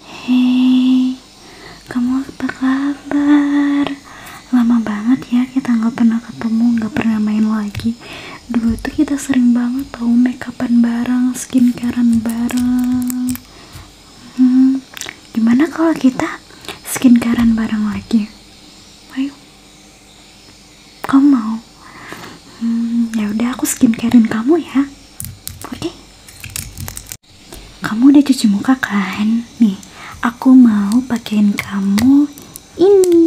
Hei, kamu apa kabar? Lama banget ya kita nggak pernah ketemu, nggak pernah main lagi. Dulu tuh kita sering banget tahu makeupan bareng, skincarean bareng. Hmm, gimana kalau kita skincarean bareng lagi? Ayo, kamu mau? Hmm, ya udah aku skincarein kamu ya, oke? Kamu udah cuci muka kan? Nih, aku mau pakein kamu ini.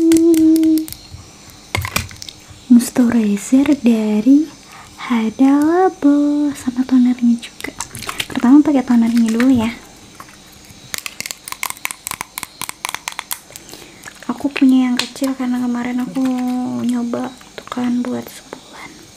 Moisturizer dari Hada Labo sama tonernya juga. Pertama pakai toner ini dulu ya. Aku punya yang kecil karena kemarin aku nyoba tuh kan buat sebulan.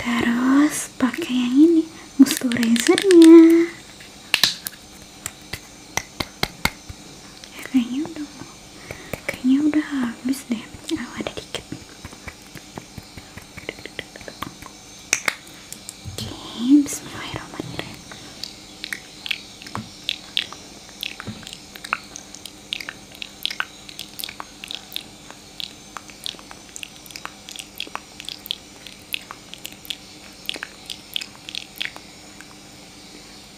terus pakai yang ini musuh razornya kayaknya udah kayaknya udah habis deh oh, ada dikit oke okay, bismillahirrahmanirrahim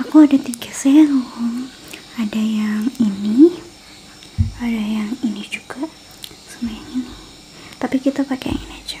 aku ada tiga serum ada yang ini ada yang ini juga sama yang ini tapi kita pakai yang ini aja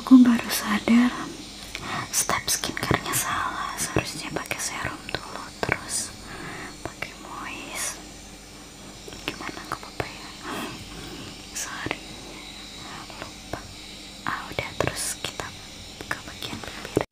Aku baru sadar step skincarenya salah. Seharusnya pakai serum dulu terus pakai moist. Gimana apa ya? Sorry. Lupa. Ah udah terus kita ke bagian bibir.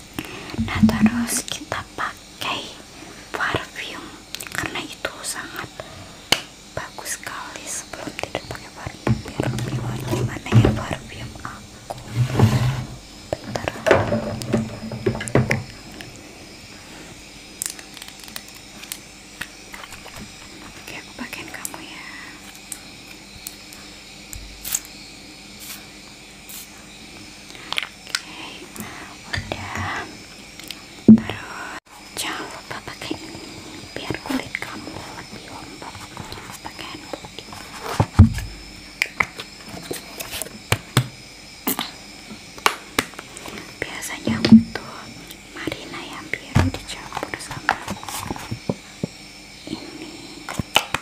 Nah terus kita pakai parfum karena itu sangat bagus sekali sebelum tidur pakai parfum biar ya parfum aku. Bentar. Oke, aku pakaiin kamu ya udah terus jangan pakai ini biar kulit kamu lebih lembab biasanya untuk marina yang biru dicampur sama ini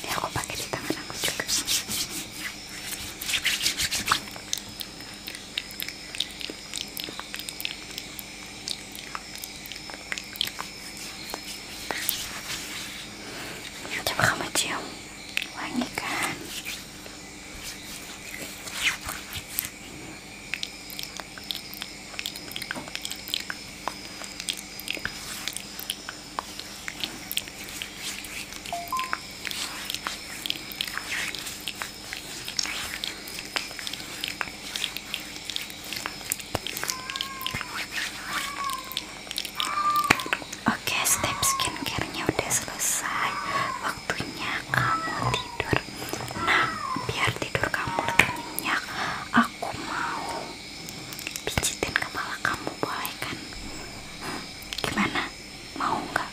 Ini ya, aku pakai di tangan aku juga. Ya, coba kamu wangi kan? Oke, step skincare-nya udah selesai. Waktunya kamu tidur. Nah, biar tidur kamu lebih nyenyak, aku mau pijitin kepala kamu boleh kan? gimana? Mau nggak?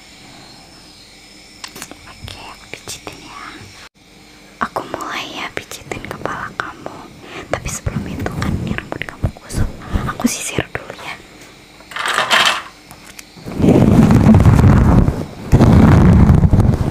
Oke, aku pijitin ya. Aku mulai ya pijitin kepala kamu. Tapi sebelum itu kan ini rambut kamu kusut. Aku sisir dulu ya.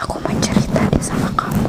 Aku mau cerita deh sama kamu.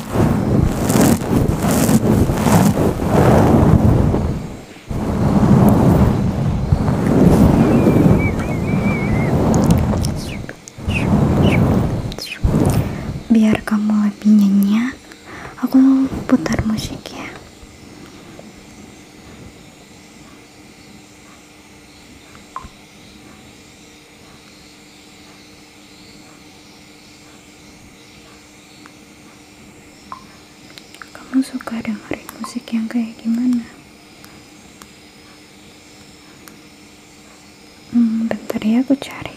biar kamu lebih nyenyak aku putar musik ya kamu suka dengerin musik yang kayak gimana? Hmm, bentar ya aku cari.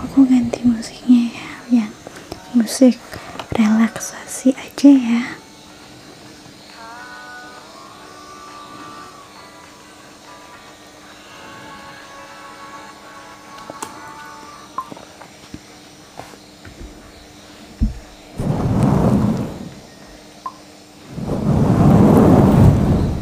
aku ganti musiknya ya yang musik relaksasi aja ya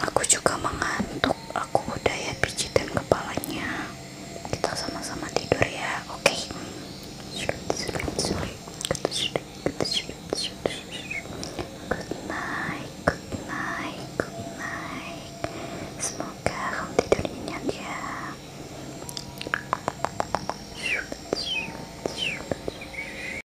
aku juga mengantuk aku udah ya dan kepalanya kita sama-sama tidur ya oke okay. good night good night good night semoga kamu tidur nyenyak ya